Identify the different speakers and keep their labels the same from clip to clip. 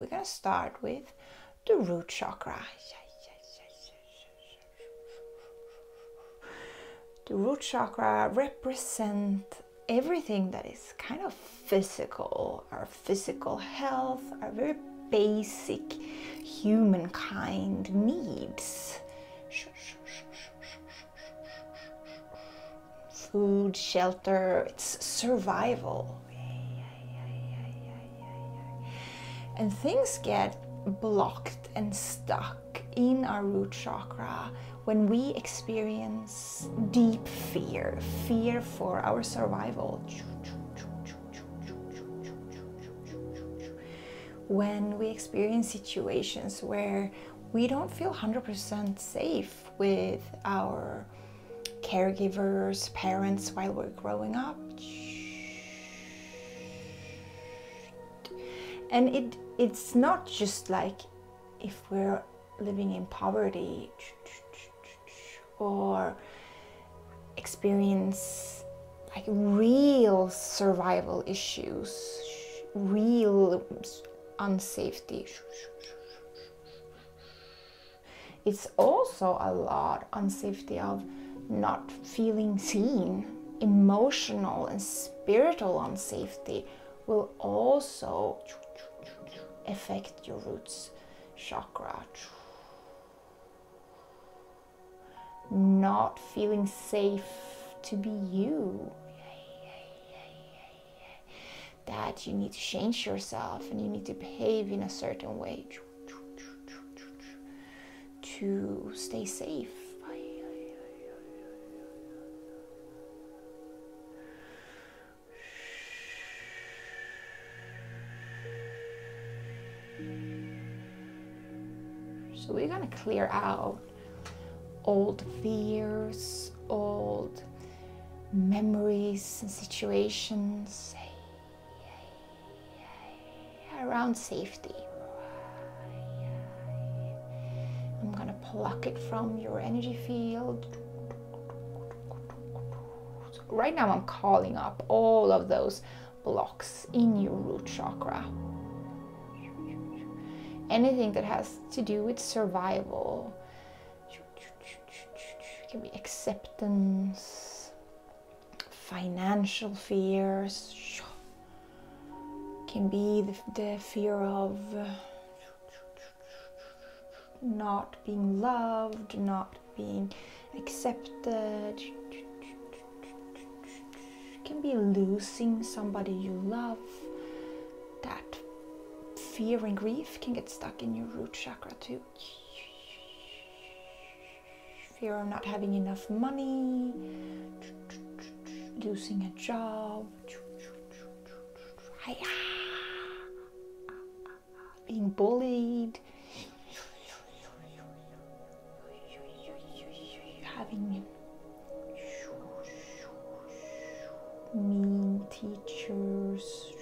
Speaker 1: We're going to start with the root chakra. The root chakra represents everything that is kind of physical, our physical health, our very basic humankind needs. Food, shelter, it's survival. Oh, and things get blocked and stuck in our root chakra when we experience deep fear, fear for our survival. When we experience situations where we don't feel 100% safe with our caregivers, parents while we're growing up. And it it's not just like if we're living in poverty or experience like real survival issues, real um, unsafety. It's also a lot on safety of not feeling seen. Emotional and spiritual unsafety will also affect your roots chakra. Not feeling safe to be you that you need to change yourself and you need to behave in a certain way to stay safe. So we're going to clear out old fears, old memories and situations around safety. I'm going to pluck it from your energy field. right now, I'm calling up all of those blocks in your root chakra. Anything that has to do with survival, can be acceptance, financial fears. can be the, fear of not being loved, not being accepted. can be losing somebody you love. That fear and grief can get stuck in your root chakra too fear of not having enough money, losing a job, being bullied, having mean teachers,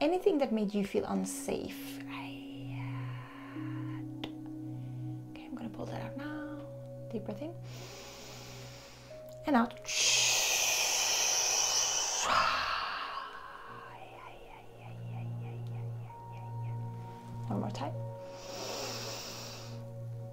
Speaker 1: Anything that made you feel unsafe. Right. Uh, okay, I'm gonna pull that out now. Deep breath in and out. One more time.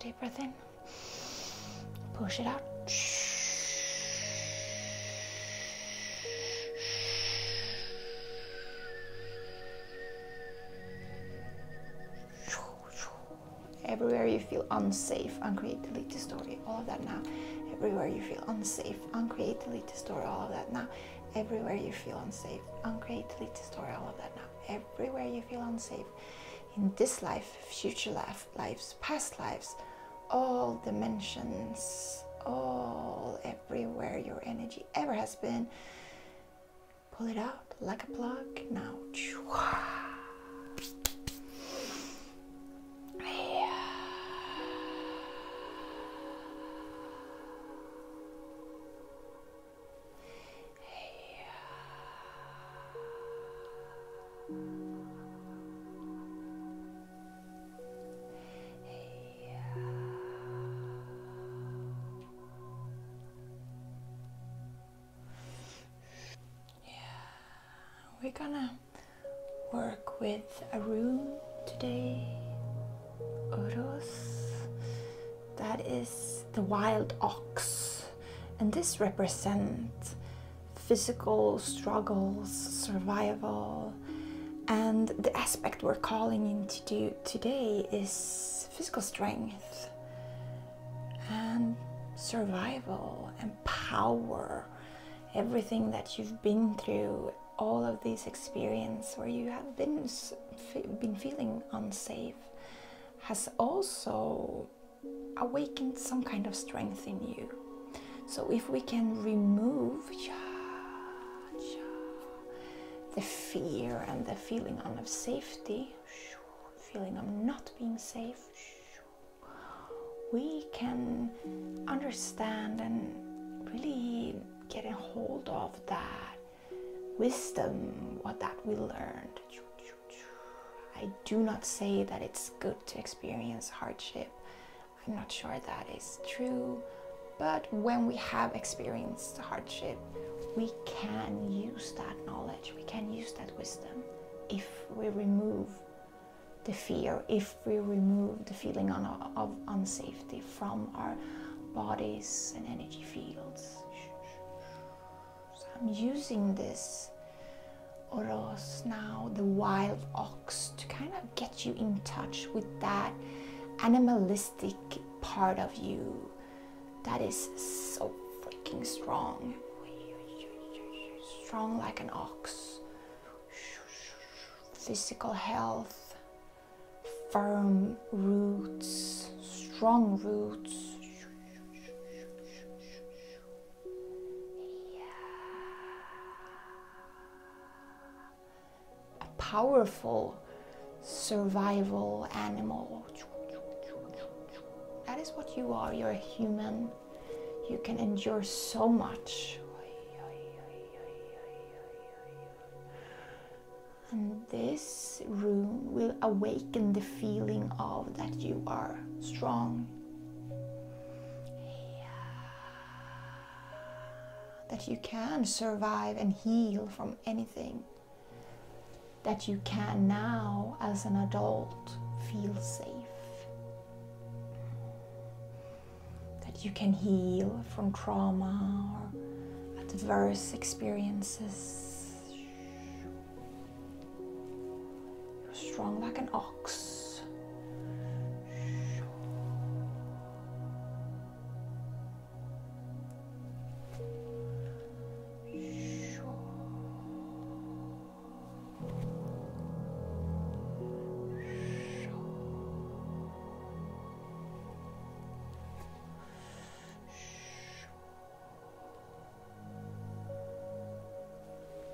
Speaker 1: Deep breath in. Push it out. Everywhere you feel unsafe, uncreate, delete, the story. All of that now. Everywhere you feel unsafe, uncreate, delete, to store all of that now. Everywhere you feel unsafe, i to store all of that now. Everywhere you feel unsafe, in this life, future life, lives, past lives, all dimensions, all everywhere your energy ever has been. Pull it out like a plug now. Yeah. we're gonna work with a room today, Oros. That is the wild ox, and this represents physical struggles, survival, and the aspect we're calling into today is physical strength and survival and power, everything that you've been through all of this experience where you have been been feeling unsafe has also awakened some kind of strength in you. So if we can remove the fear and the feeling of safety, feeling of not being safe, we can understand and really getting hold of that wisdom, what that we learned. I do not say that it's good to experience hardship. I'm not sure that is true, but when we have experienced hardship, we can use that knowledge, we can use that wisdom if we remove the fear, if we remove the feeling of unsafety from our bodies and energy fields. So I'm using this Oros now, the wild ox, to kind of get you in touch with that animalistic part of you that is so freaking strong. Strong like an ox. Physical health, firm roots, strong roots. A powerful survival animal. That is what you are. You're a human. You can endure so much. And this room will awaken the feeling of that you are strong, that you can survive and heal from anything, that you can now, as an adult, feel safe that you can heal from trauma or adverse experiences. You're strong like an ox.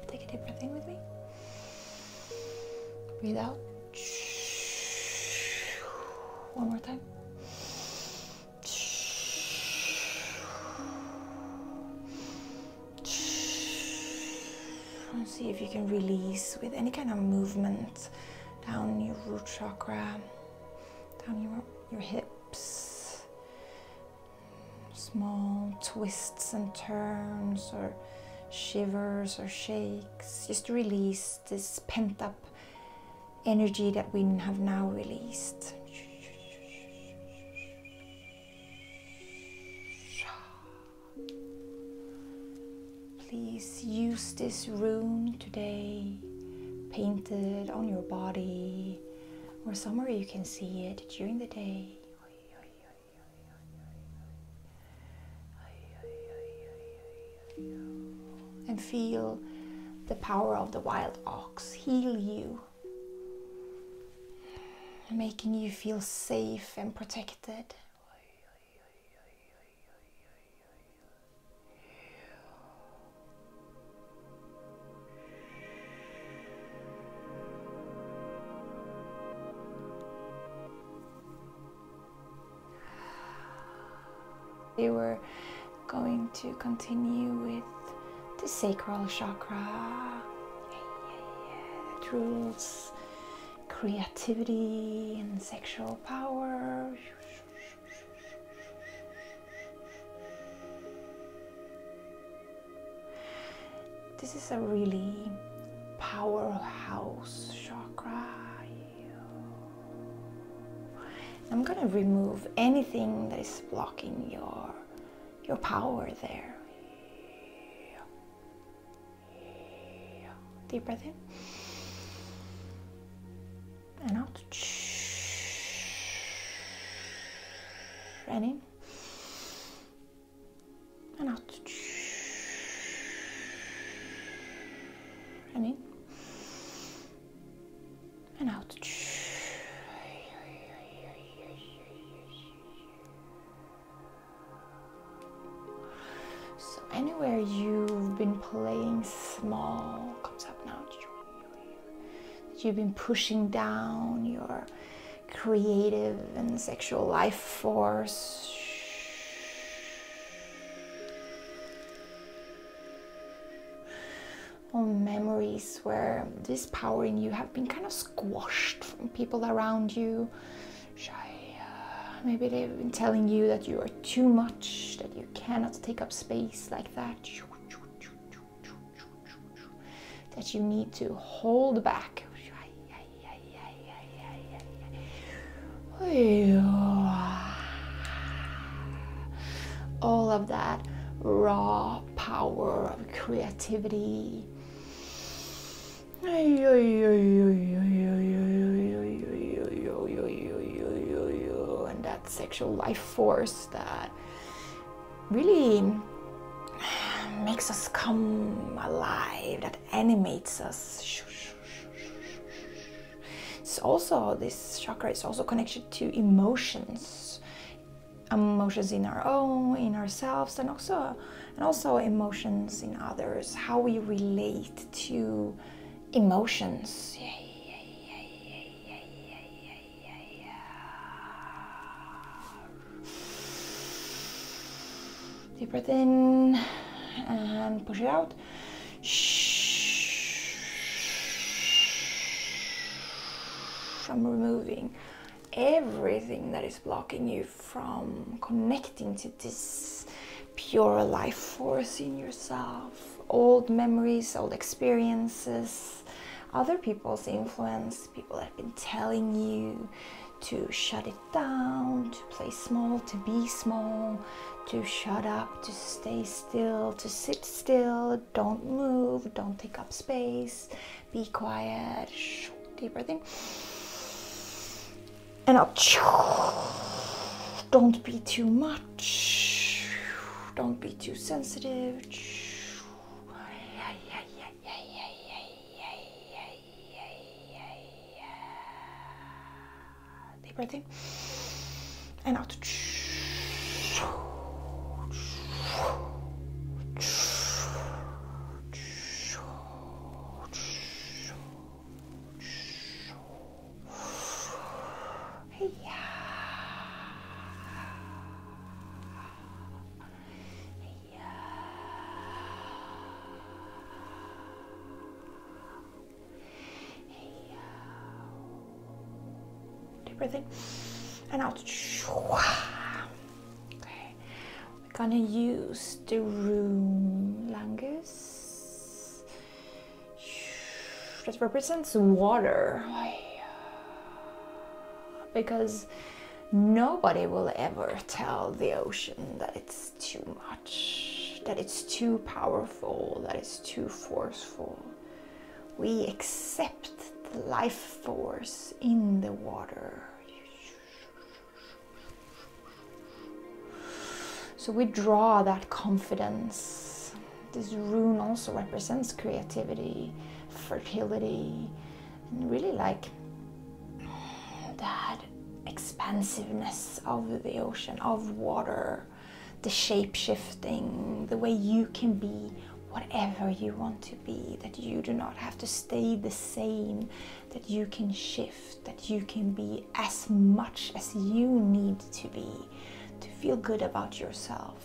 Speaker 1: Take a deep breath in with me. Breathe out. One more time. And see if you can release with any kind of movement down your root chakra, down your, your hips. Small twists and turns or shivers or shakes. Just release this pent up energy that we have now released. Please use this rune today, paint it on your body or somewhere you can see it during the day. And feel the power of the wild ox heal you, making you feel safe and protected. We were going to continue with the sacral chakra. Yeah, rules creativity and sexual power. This is a really powerhouse chakra. I'm gonna remove anything that is blocking your your power there. Deep breath in and out. And in and out. And in and out. So anywhere you've been playing small comes up now. you've been pushing down your creative and sexual life force. Or memories where this power in you have been kind of squashed from people around you uh, maybe they've been telling you that you are too much, that you cannot take up space like that, that you need to hold back. All of that raw power of creativity and that sexual life force that really makes us come alive, that animates us. It's also, this chakra is also connected to emotions. Emotions in our own, in ourselves, and also, and also emotions in others. How we relate to emotions. Deep breath in and push it out. I'm removing everything that is blocking you from connecting to this pure life force in yourself, old memories, old experiences, other people's influence, people have been telling you to shut it down, to play small, to be small, to shut up, to stay still, to sit still, don't move, don't take up space, be quiet. Deep breathing and up. Don't be too much. Don't be too sensitive. Deep breath in and out. Yeah. Yeah. Yeah. Deep breath in and out. Okay. We're gonna use the room lungus that represents water. Because nobody will ever tell the ocean that it's too much, that it's too powerful, that it's too forceful. We accept the life force in the water. So we draw that confidence. This rune also represents creativity, fertility, and really like that expansiveness of the ocean, of water, the shape shifting, the way you can be whatever you want to be, that you do not have to stay the same, that you can shift, that you can be as much as you need to be to feel good about yourself.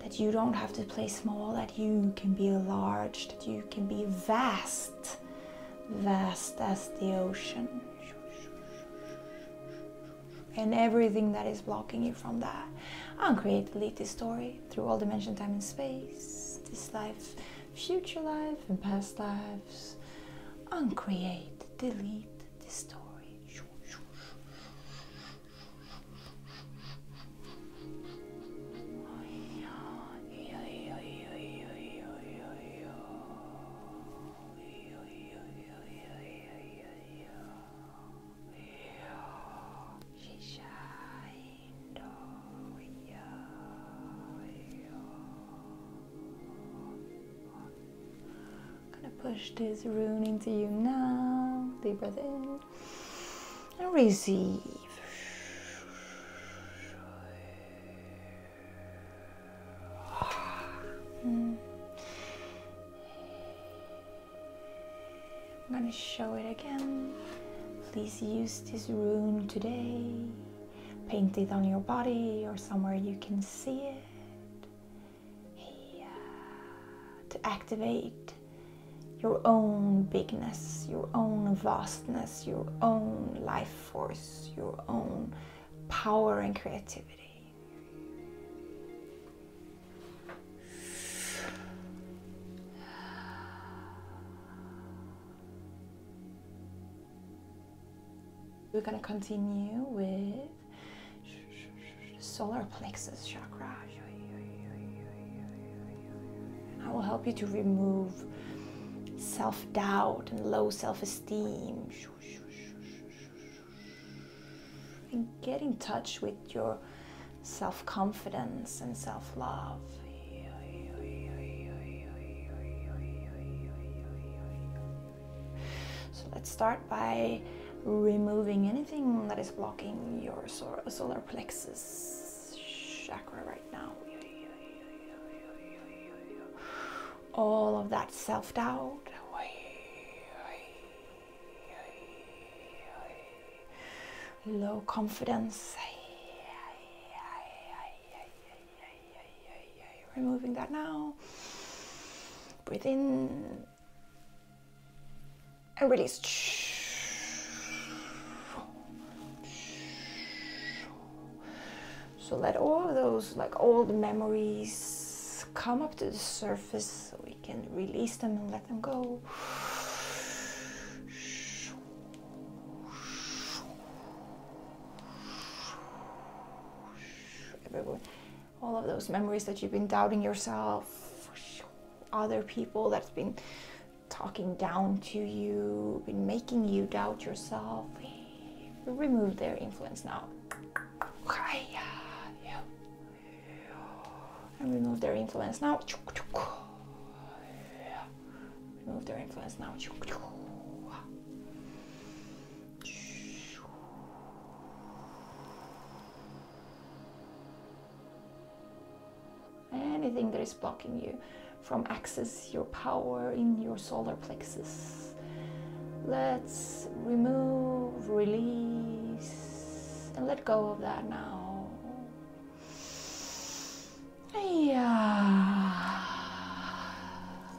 Speaker 1: That you don't have to play small, that you can be large, that you can be vast, vast as the ocean. And everything that is blocking you from that. Uncreate, delete this story through all dimension, time, and space, this life, future life, and past lives. Uncreate delete the story. I'm gonna push this rune into you now. Deep breath in and receive. Hmm. I'm gonna show it again. Please use this rune today Paint it on your body or somewhere you can see it. To activate your own bigness, your own vastness, your own life force, your own power and creativity. We're going to continue with solar plexus chakra. I will help you to remove self doubt and low self esteem. And get in touch with your self confidence and self love. So let's start by removing anything that is blocking your solar plexus chakra right now. All of that self doubt. Low confidence. Removing that now. Breathe in and release. So let all those like old memories come up to the surface so we can release them and let them go all of those memories that you've been doubting yourself, other people that's been talking down to you, been making you doubt yourself. Remove their influence now. And remove their influence now. Remove their influence now. Anything that is blocking you from access your power in your solar plexus. Let's remove, release, and let go of that now. Yeah.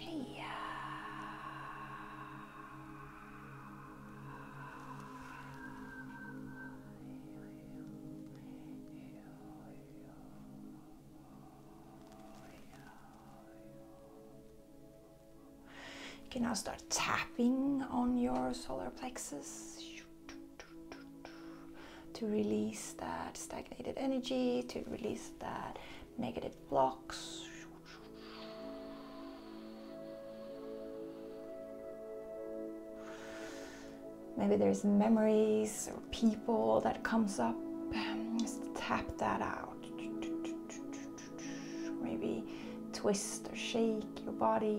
Speaker 1: Yeah. You can now start tapping on your solar plexus to release that stagnated energy, to release that negative blocks. Maybe there's memories or people that comes up. Um, just tap that out. Maybe twist or shake your body.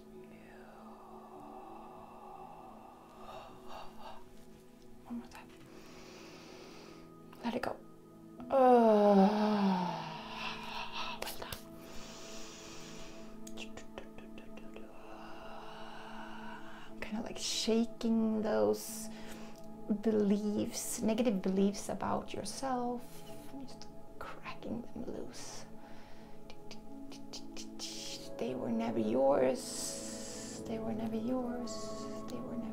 Speaker 1: One more time. Let it go. well uh, done. I'm kind of like shaking those beliefs, negative beliefs about yourself. cracking them loose. They were never yours. They were never yours. They were never yours.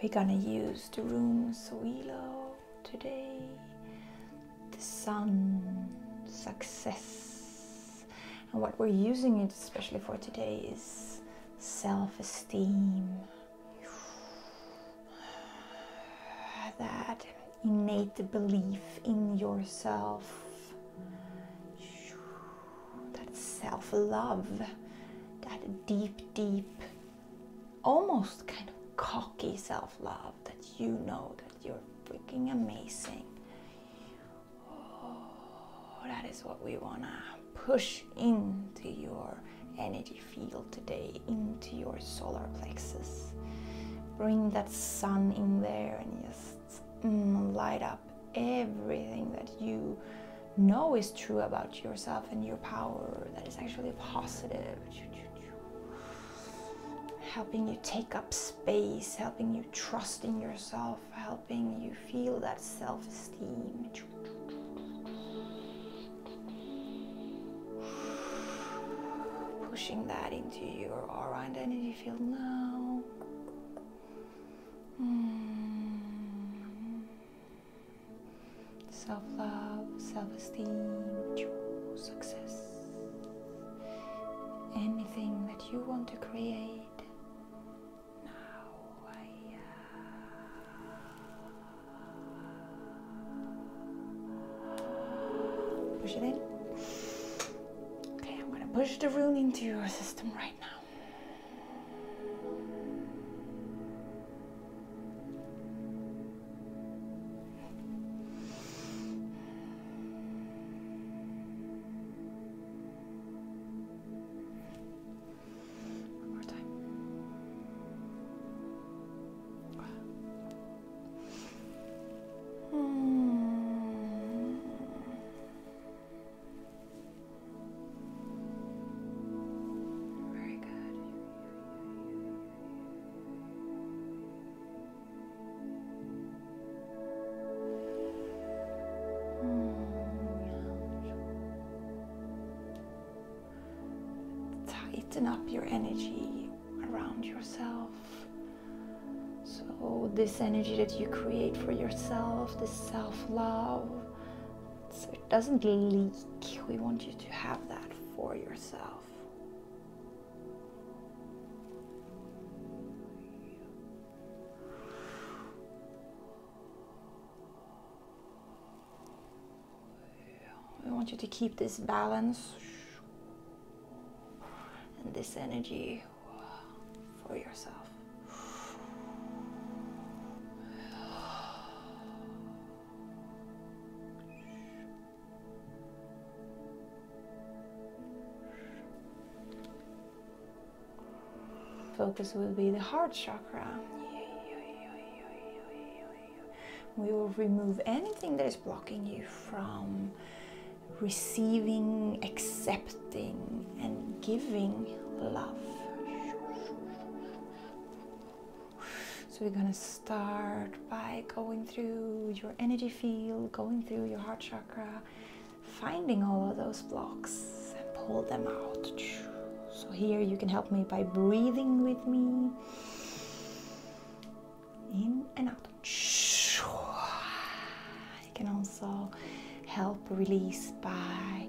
Speaker 1: We're gonna use the room Soilo today, the sun, success. And what we're using it especially for today is self esteem. that innate belief in yourself, that self love, that deep, deep, almost kind of cocky self love that you know that you're freaking amazing. Oh, that is what we want to push into your energy field today, into your solar plexus. Bring that sun in there and just mm, light up everything that you know is true about yourself and your power that is actually positive. Helping you take up space, helping you trust in yourself, helping you feel that self esteem. Pushing that into your aura and identity field now. Hmm. Self love, self esteem, success. Anything that you want to create now. I, uh, Push it in. Okay, I'm gonna push the rune into your system right now. One more time. Very hmm. good. Hmm. Hmm tighten up your energy around yourself. So, this energy that you create for yourself, this self love, so it doesn't leak. We want you to have that for yourself. I want you to keep this balance and this energy for yourself. Focus will be the heart chakra. We will remove anything that is blocking you from receiving, accepting, and giving love. So we're going to start by going through your energy field, going through your heart chakra, finding all of those blocks and pull them out. So here you can help me by breathing with me. In and out. You can also help release by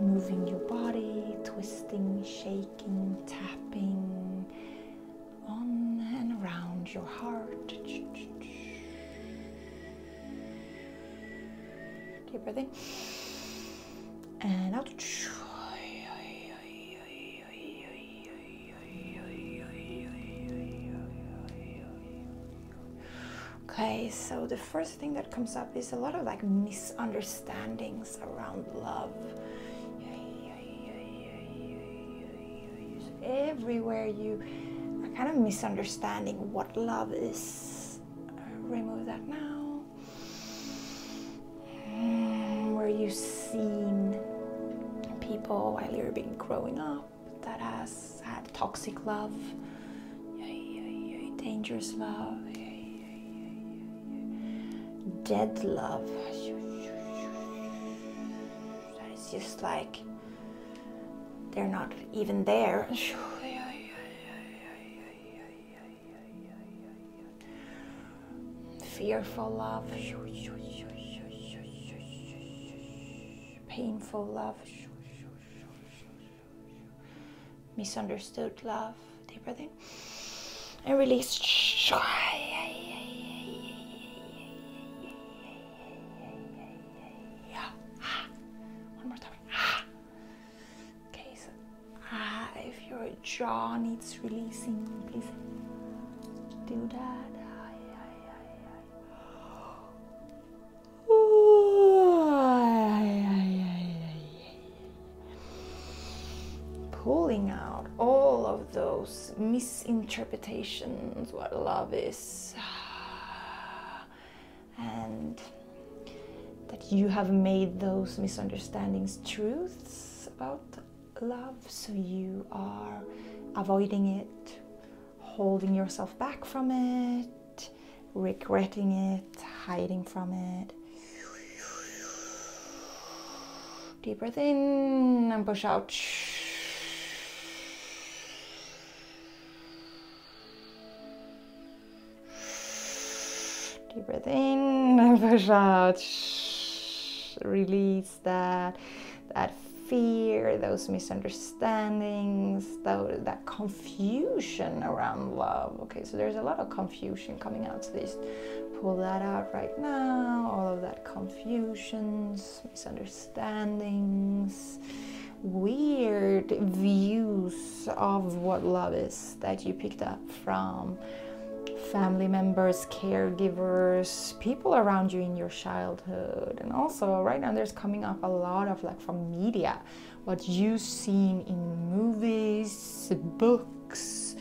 Speaker 1: moving your body, twisting, shaking, tapping on and around your heart. Deep breathing and out. Okay, so the first thing that comes up is a lot of like misunderstandings around love. Everywhere you are kind of misunderstanding what love is. Uh, remove that now. Mm, Were you seen people while you're being growing up that has had toxic love, dangerous love, dead love? That is just like they're not even there. Fearful love, painful love, misunderstood love. Deep breathing. and release. One more time. Okay, so ah, if your jaw needs releasing, please do that. Pulling out all of those misinterpretations what love is and that you have made those misunderstandings truths about love, so you are avoiding it, holding yourself back from it, regretting it, hiding from it. Deep breath in and push out. Deep breath in, and push out. Release that, that fear, those misunderstandings, that, confusion around love. Okay, so there's a lot of confusion coming out. today. pull that out right now. All of that confusion, misunderstandings, weird views of what love is that you picked up from family members, caregivers, people around you in your childhood. And also, right now, there's coming up a lot of like from media, what you've seen in movies, books,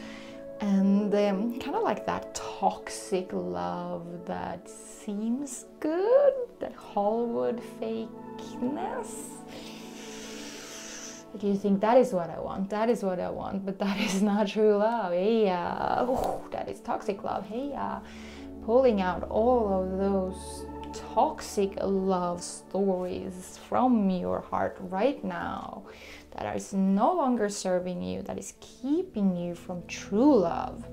Speaker 1: and um, kind of like that toxic love that seems good, that Hollywood fakeness. Do you think that is what I want, that is what I want, but that is not true love. yeah. Uh, that is toxic love. yeah. Uh, pulling out all of those toxic love stories from your heart right now that is no longer serving you, that is keeping you from true love.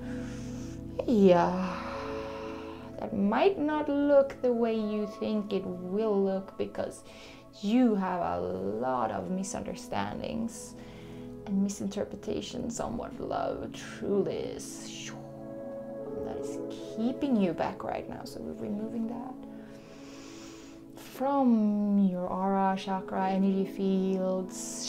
Speaker 1: Yeah, uh, that might not look the way you think it will look because you have a lot of misunderstandings and misinterpretations on what love truly is. That is keeping you back right now. So we're removing that from your aura, chakra, energy fields.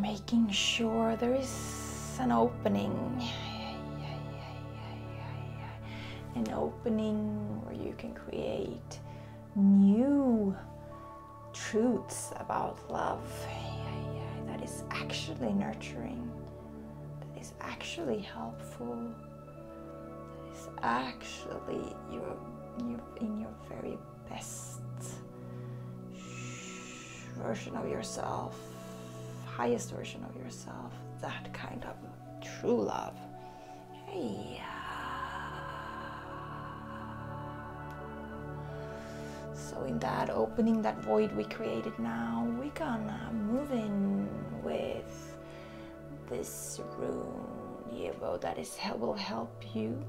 Speaker 1: Making sure there is an opening. An opening where you can create new truths about love that is actually nurturing, that is actually helpful, that is actually your, your in your very best version of yourself, highest version of yourself, that kind of true love. So in that opening, that void we created now, we can move in with this rune, Yevo, that is is will help you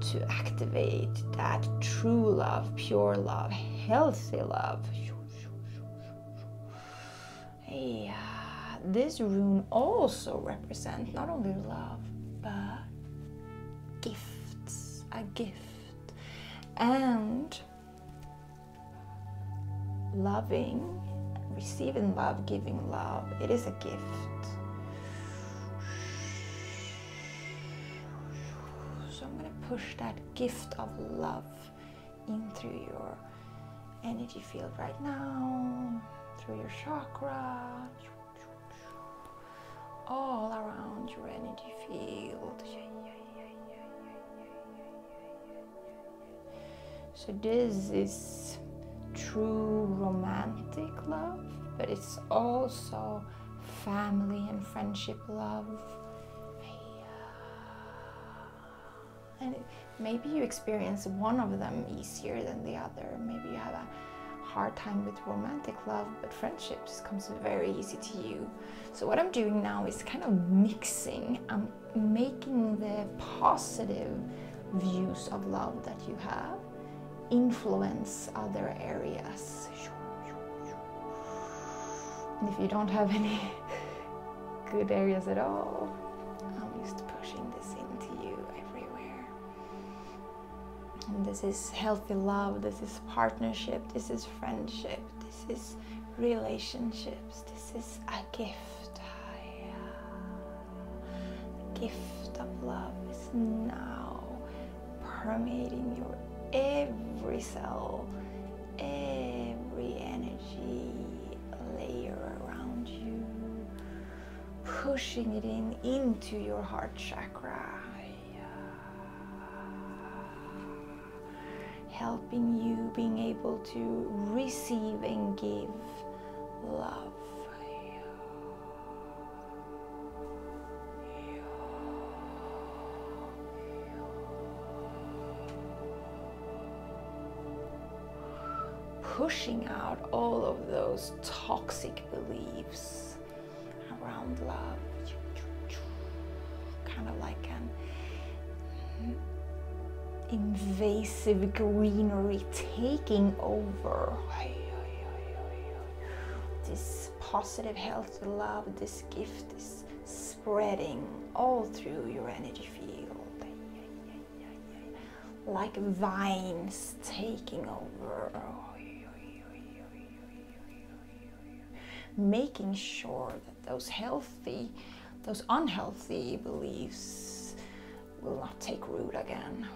Speaker 1: to activate that true love, pure love, healthy love. Yeah. This rune also represents not only love, but gifts, a gift, and loving, receiving love, giving love. It is a gift. So I'm going to push that gift of love in through your energy field right now, through your chakra, all around your energy field. So this is true romantic love, but it's also family and friendship love. And maybe you experience one of them easier than the other. Maybe you have a hard time with romantic love, but friendships comes very easy to you. So what I'm doing now is kind of mixing. I'm making the positive views of love that you have influence other areas. And if you don't have any good areas at all, I'm just pushing this into you everywhere. this is healthy love, this is partnership, this is friendship, this is relationships, this is a gift. The Gift of love is now permeating your every cell, every energy layer around you, pushing it in into your heart chakra. helping you being able to receive and give love. Yeah pushing out all of those toxic beliefs around love. Kind of like an invasive greenery taking over. This positive health, love, this gift is spreading all through your energy field. Like vines taking over. Making sure that those healthy, those unhealthy beliefs will not take root again.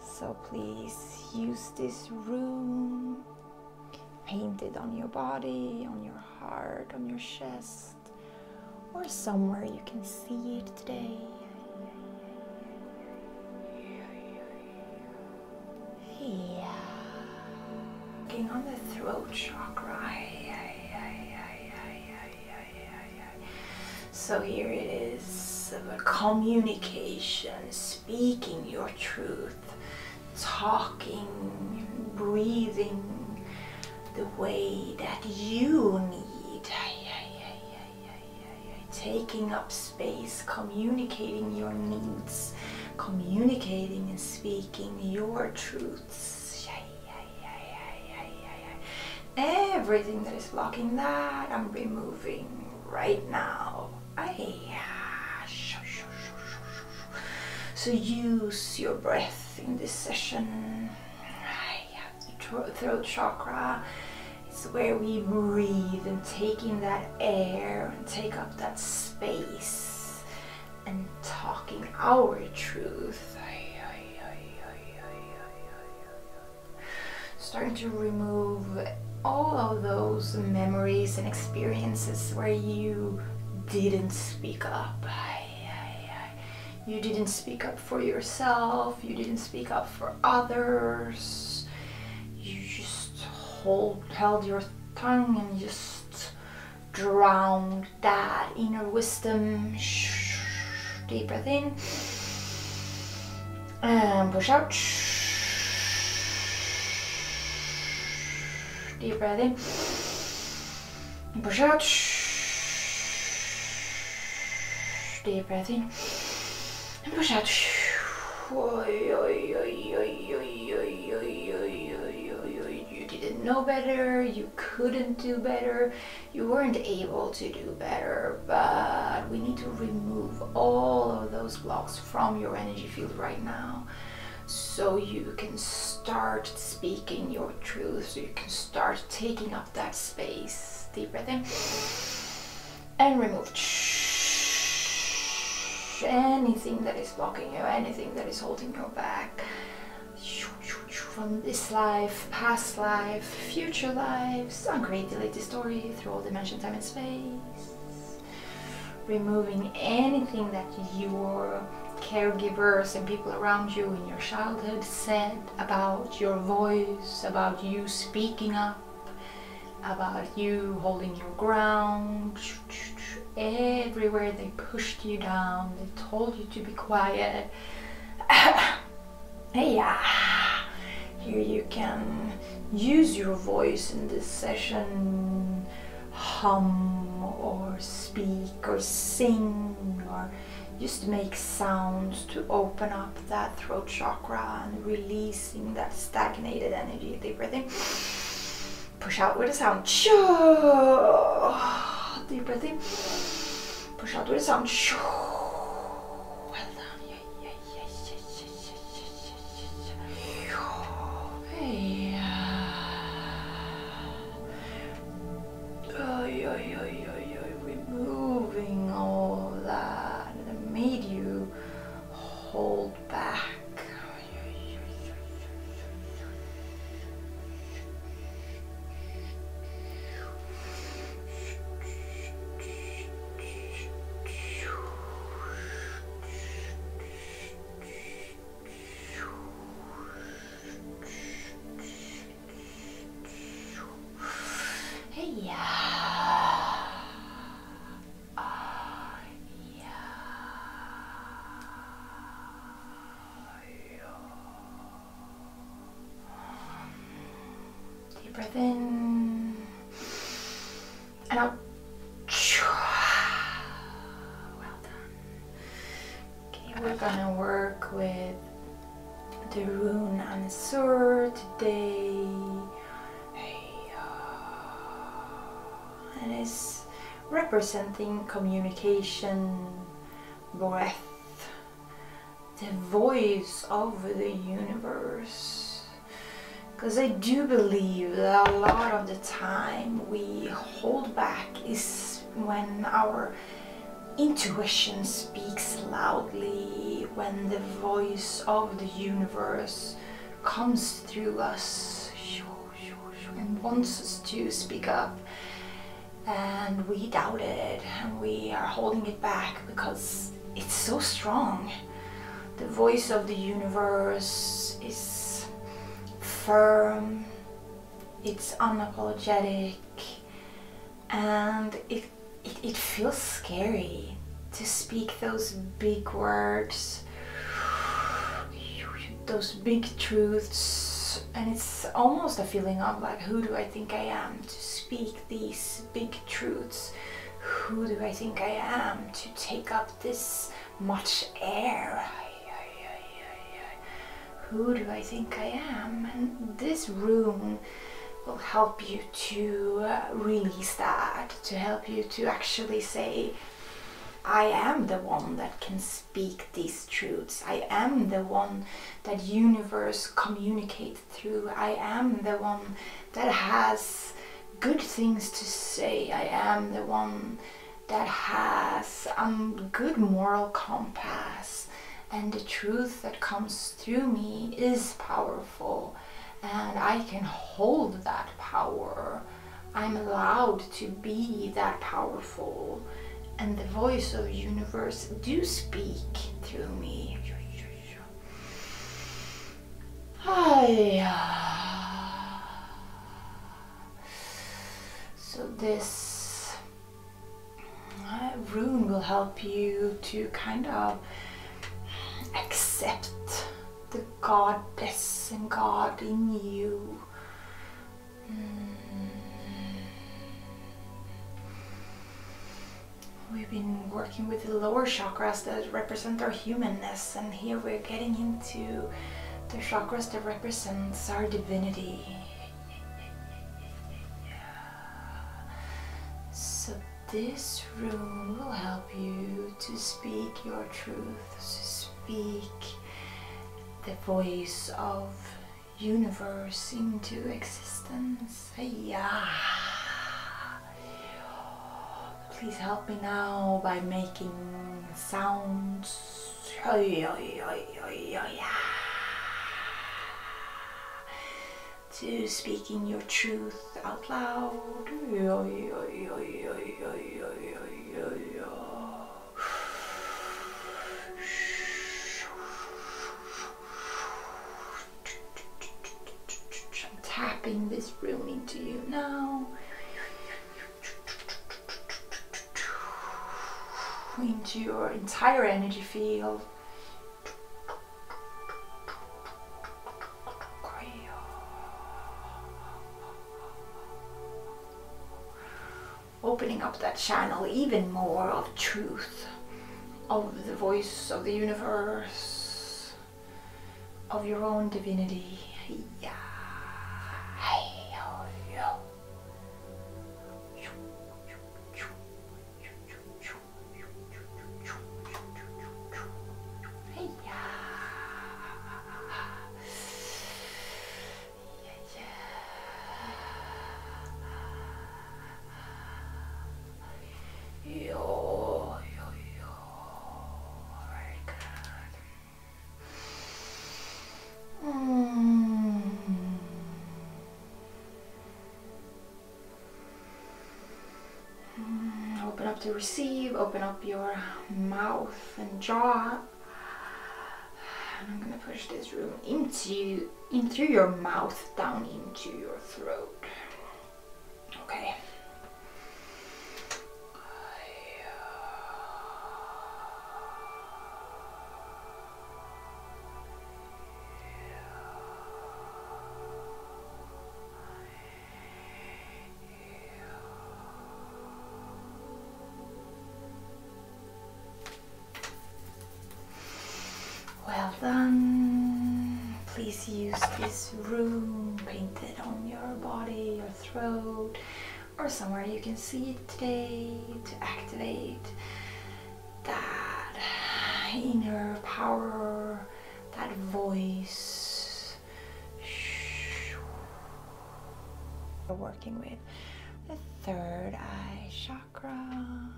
Speaker 1: So please use this room Paint it on your body, on your heart, on your chest or somewhere you can see it today. Yeah. Working on the throat chakra. So here it is communication, speaking your truth talking, breathing the way that you need. Taking up space, communicating your needs, communicating and speaking your truths. Everything that is blocking that, I'm removing right now. Ah, so use your breath in this session. the throat chakra. is where we breathe and taking that air and take up that space and talking our truth. Starting to remove all of those memories and experiences where you didn't speak up. You didn't speak up for yourself. You didn't speak up for others. You just hold, held your tongue and just drowned that inner wisdom. Deep breath in. And push out. Deep breath in push out. Deep breath in and push out. You didn't know better, you couldn't do better, you weren't able to do better, but we need to remove all of those blocks from your energy field right now so you can start speaking your truth, so you can start taking up that space. Deep breath in and remove anything that is blocking you, anything that is holding you back from this life, past life, future lives, uncreate the latest story through all dimension, time and space. Removing anything that your caregivers and people around you in your childhood said about your voice, about you speaking up, about you holding your ground. Everywhere they pushed you down, they told you to be quiet. yeah, here you can use your voice in this session hum or speak or sing or just make sounds to open up that throat chakra and releasing that stagnated energy. Deep breathing. Push out with a sound. Deep breathing. Push out with a sound. Well done. Yeah, yeah, yeah, yeah, yeah, yeah, yeah, yeah. Uh, Oy, oy, oy, oy, removing all that that made you hold back. Deep breath in and out. Well done. Okay, we're gonna work with the rune Ansur today. Uh, and it's representing communication, breath, the voice of the universe. Because I do believe that a lot of the time we hold back is when our intuition speaks loudly, when the voice of the universe comes through us and wants us to speak up. And we doubt it and we are holding it back because it's so strong. The voice of the universe is firm, it's unapologetic and it, it, feels scary to speak those big words those big truths and it's almost a feeling of like who do i think i am to speak these big truths who do i think i am to take up this much air who do I think I am? And this room will help you to uh, release that, to help you to actually say, I am the one that can speak these truths. I am the one that universe communicates through. I am the one that has good things to say. I am the one that has um, good moral compass and the truth that comes through me is powerful and I can hold that power. I'm allowed to be that powerful and the voice of the universe do speak through me. Ah. So this rune will help you to kind of accept the goddess and god in you. Mm. We've been working with the lower chakras that represent our humanness and here we're getting into the chakras that represents our divinity so, this room will help you to speak your truth, to speak the voice of universe into existence. Yeah. Please help me now by making sounds to speaking your truth out loud. I'm tapping this room into you now into your entire energy field. Opening up that channel even more of truth, of the voice of the universe, of your own divinity. Hey yeah. Yeah, yeah. Yo, yo, Very good. Mm. Open up to receive, open up your mouth and jaw. And I'm gonna push this room into into your mouth, down into your throat. Okay. Well done. Please use this room painted on your body, your throat, or somewhere you can see it today to activate that inner power, that voice we're working with. The third eye chakra. I'm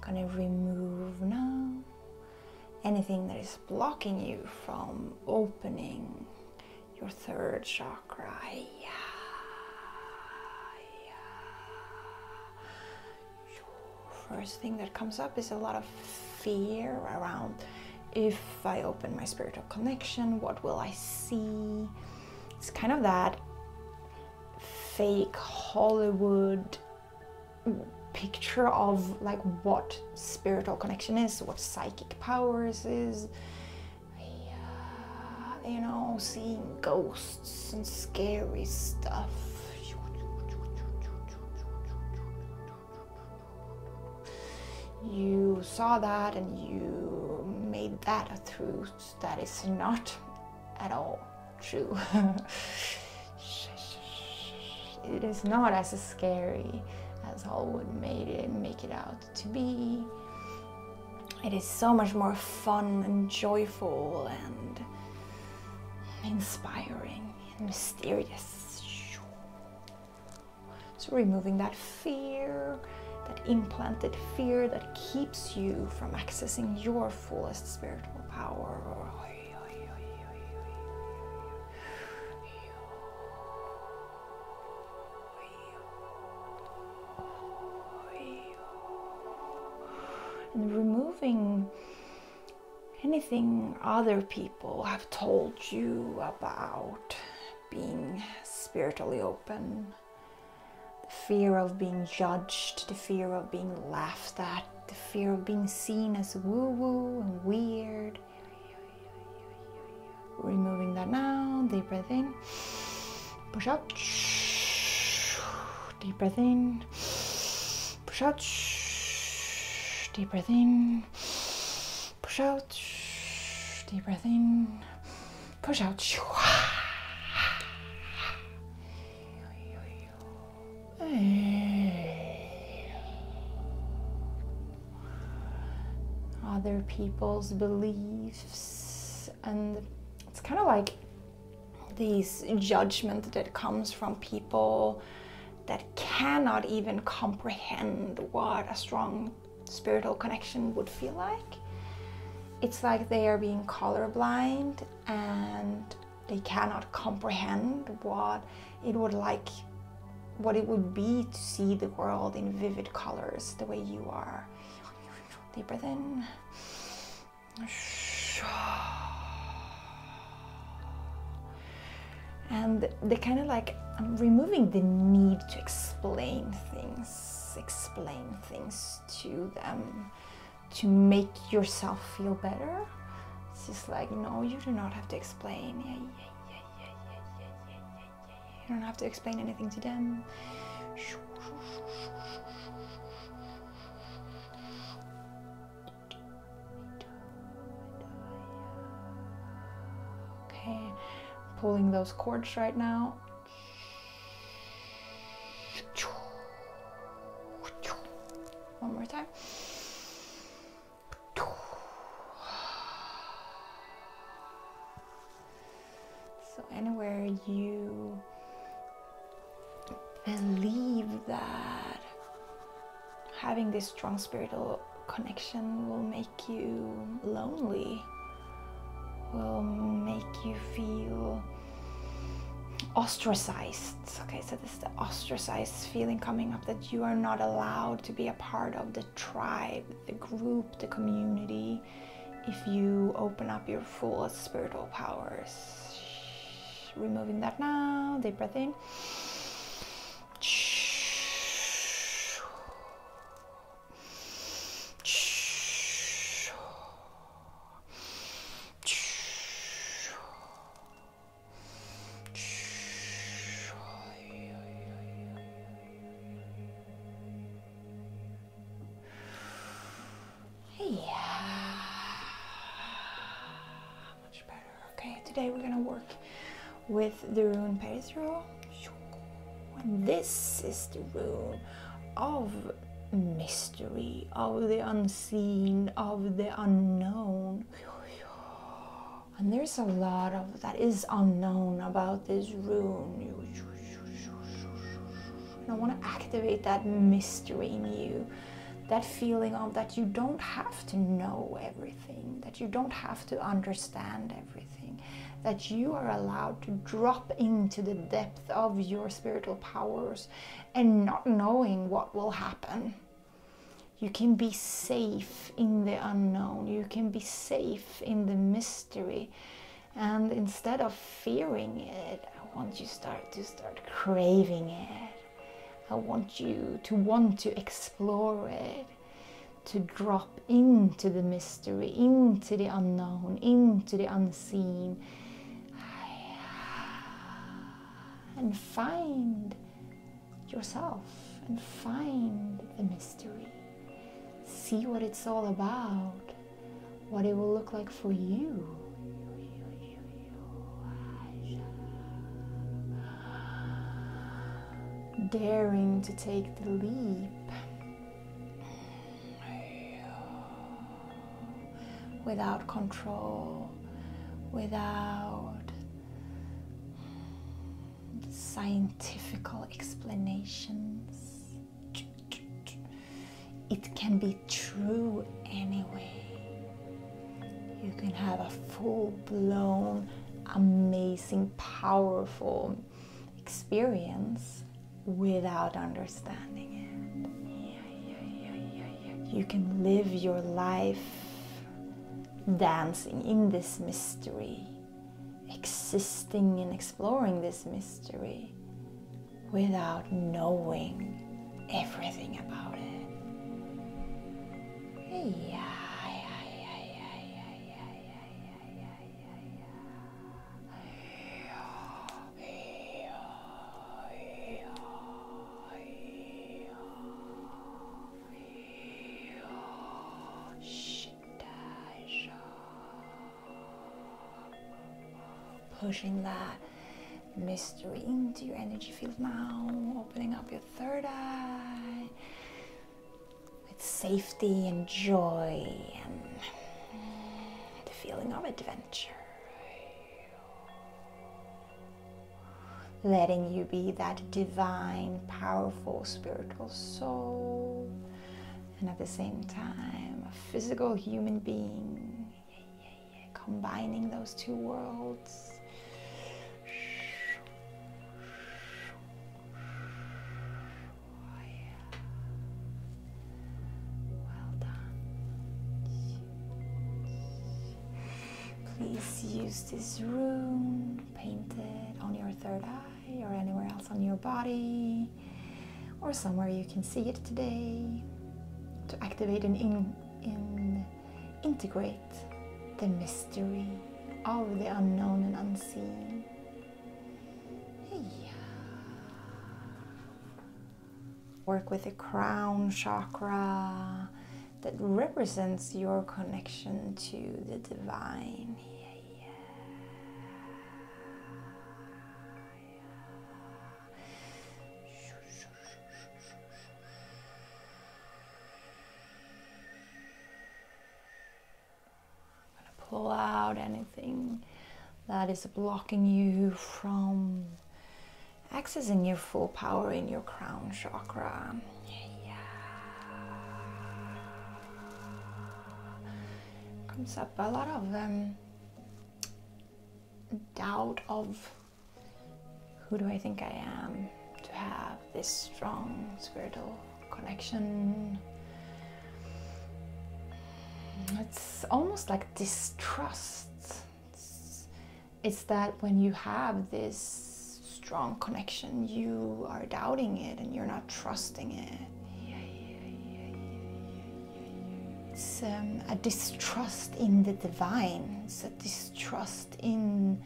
Speaker 1: gonna remove now anything that is blocking you from opening your third chakra chakra. First thing that comes up is a lot of fear around if I open my spiritual connection, what will I see? It's kind of that fake Hollywood picture of like what spiritual connection is, what psychic powers is, you know, seeing ghosts and scary stuff. You saw that and you made that a truth that is not at all true. it is not as scary as Hollywood made it make it out to be. It is so much more fun and joyful and inspiring and mysterious. So, removing that fear, that implanted fear that keeps you from accessing your fullest spiritual power and removing anything other people have told you about being spiritually open the fear of being judged the fear of being laughed at the fear of being seen as woo woo and weird removing that now deep breath in Push out. Deep breath in. Push out. Deep breath in. Push out. Deep breath in. Push out. Other people's beliefs and it's kind of like these judgments that comes from people that cannot even comprehend what a strong spiritual connection would feel like. It's like they are being colorblind and they cannot comprehend what it would like what it would be to see the world in vivid colors the way you are Deep breath in. And they kind of like, um, removing the need to explain things, explain things to them to make yourself feel better. It's just like, no, you do not have to explain. You don't have to explain anything to them. Okay, pulling those cords right now. One more time. So, anywhere you believe that having this strong spiritual connection will make you lonely, will make you feel ostracized. Okay, so this is the ostracized feeling coming up that you are not allowed to be a part of the tribe, the group, the community if you open up your full spiritual powers. Removing that now, deep breath in. Yeah. Much better. Okay, today we're gonna work with the rune Perisro. this is the rune of mystery, of the unseen, of the unknown. And there's a lot of that is unknown about this rune. I want to activate that mystery in you, that feeling of that you don't have to know everything, that you don't have to understand everything, that you are allowed to drop into the depth of your spiritual powers and not knowing what will happen. You can be safe in the unknown. You can be safe in the mystery and instead of fearing it i want you to start to start craving it i want you to want to explore it to drop into the mystery into the unknown into the unseen and find yourself and find the mystery see what it's all about what it will look like for you. Daring to take the leap without control, without scientific explanations. It can be true anyway. You can have a full blown, amazing, powerful experience without understanding it. You can live your life dancing in this mystery, existing and exploring this mystery without knowing everything about it. Pushing that mystery into your energy field now, opening up your third eye with safety and joy and the feeling of adventure. Letting you be that divine, powerful, spiritual soul and at the same time a physical human being. Combining those two worlds. Oh, well done. Please use this room painted on your third eye or anywhere else on your body or somewhere you can see it today to activate and in, in, integrate the mystery of the unknown and unseen. Yeah. Work with the crown chakra that represents your connection to the divine. yeah. I'm gonna pull out anything that is blocking you from accessing your full power in your crown chakra. Yeah. Comes up a lot of them. Um, doubt of who do I think I am to have this strong spiritual connection. It's almost like distrust. It's, that when you have this strong connection, you are doubting it and you're not trusting it. It's um, a distrust in the divine. It's a distrust in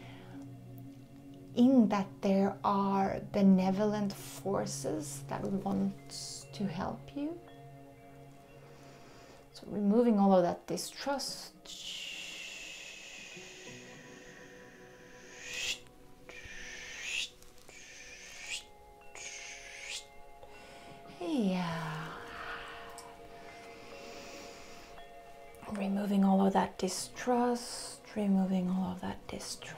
Speaker 1: in that there are benevolent forces that want to help you. So removing all of that distrust. Yeah. Removing all of that distrust, removing all of that distrust.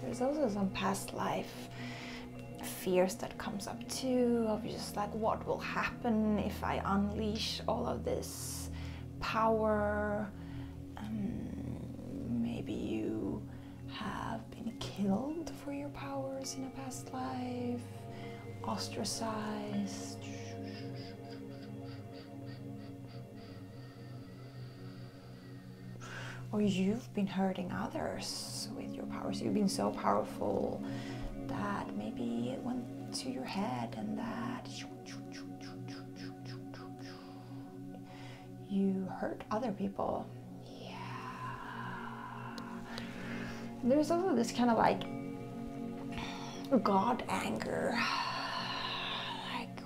Speaker 1: There's also some past life fears that comes up too of just like what will happen if I unleash all of this power. Um, maybe you have been killed for your powers in a past life, ostracized. Or you've been hurting others with your powers. You've been so powerful that maybe it went to your head and that you hurt other people yeah. There's also this kind of like God anger. Like,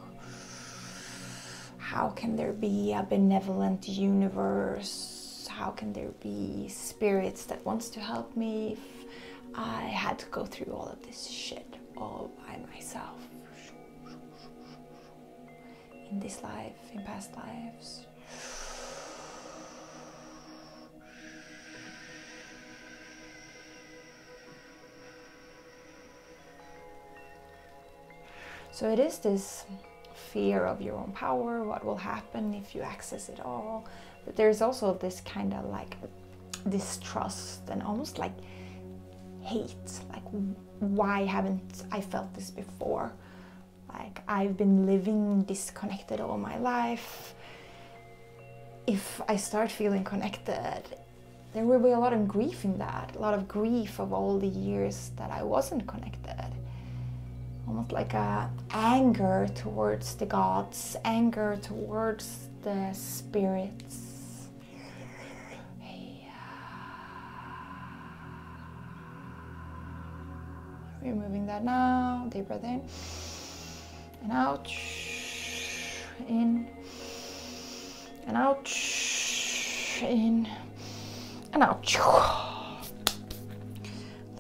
Speaker 1: how can there be a benevolent universe? How can there be spirits that wants to help me if I had to go through all of this shit all by myself? In this life, in past lives. So it is this fear of your own power, what will happen if you access it all. But there's also this kind of like distrust and almost like hate, like why haven't I felt this before? Like, I've been living disconnected all my life. If I start feeling connected, there will be a lot of grief in that, a lot of grief of all the years that I wasn't connected. Almost like a anger towards the gods, anger towards the spirits. We're moving that now. Deep breath in and out. In and out. In and out.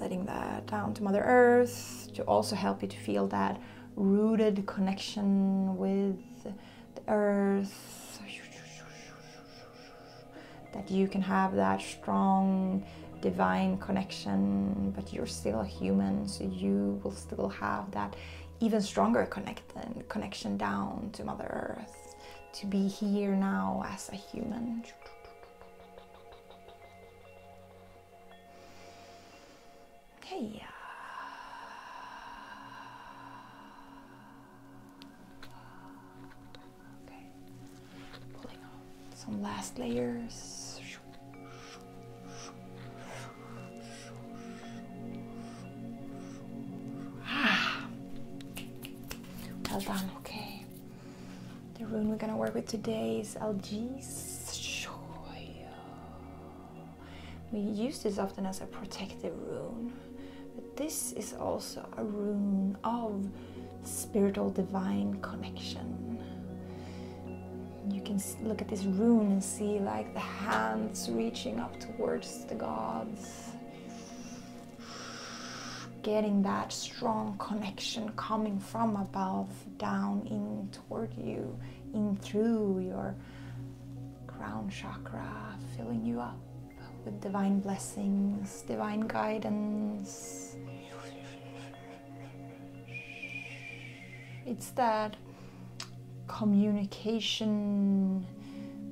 Speaker 1: Letting that down to Mother Earth to also help you to feel that rooted connection with the earth that you can have that strong divine connection, but you're still a human, so you will still have that even stronger connect connection down to Mother Earth, to be here now as a human. Hey. Uh, Okay, pulling out some last layers. Ah. well done. Okay, the rune we're gonna work with today is LG's. We use this often as a protective rune this is also a rune of spiritual divine connection. You can look at this rune and see like the hands reaching up towards the gods. Getting that strong connection coming from above, down, in toward you, in through your crown chakra, filling you up with divine blessings, divine guidance. It's that communication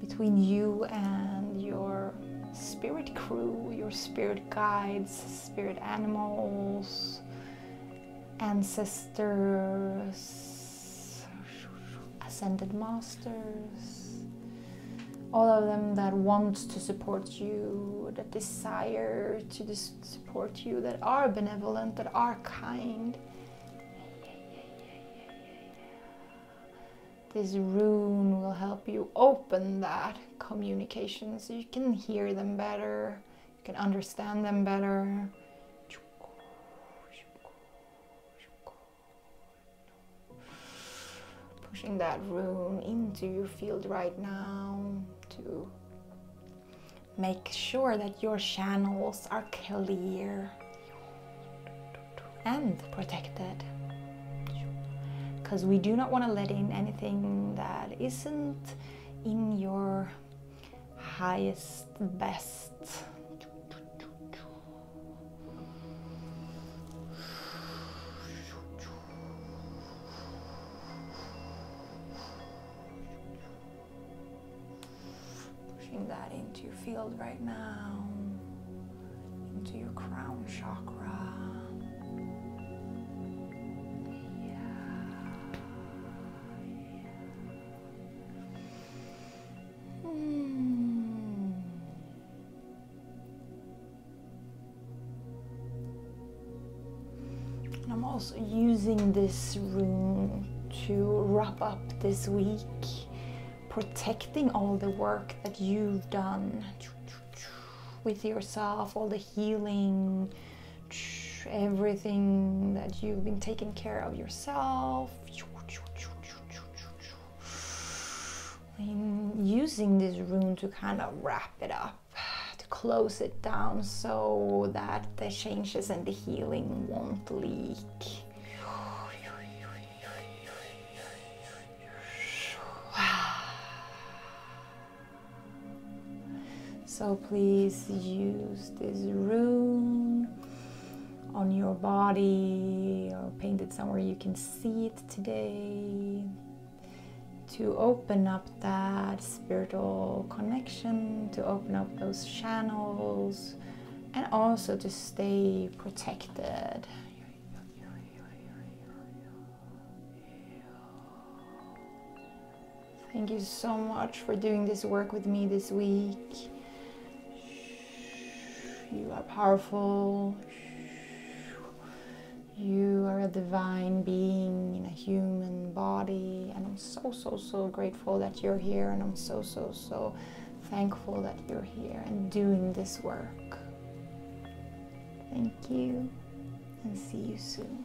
Speaker 1: between you and your spirit crew, your spirit guides, spirit animals, ancestors, ascended masters all of them that want to support you, that desire to support you, that are benevolent, that are kind. This rune will help you open that communication so you can hear them better, you can understand them better pushing that rune into your field right now to make sure that your channels are clear and protected because we do not want to let in anything that isn't in your highest best Pushing that into your field right now, into your crown chakra. Yeah. Yeah. Hmm. And I'm also using this room to wrap up this week, protecting all the work that you've done with yourself, all the healing, everything that you've been taking care of yourself i using this rune to kind of wrap it up, to close it down so that the changes and the healing won't leak. So please use this rune on your body or paint it somewhere you can see it today to open up that spiritual connection, to open up those channels, and also to stay protected. Thank you so much for doing this work with me this week. You are powerful. You are a divine being in a human body, and I'm so, so, so grateful that you're here, and I'm so, so, so thankful that you're here and doing this work. Thank you, and see you soon.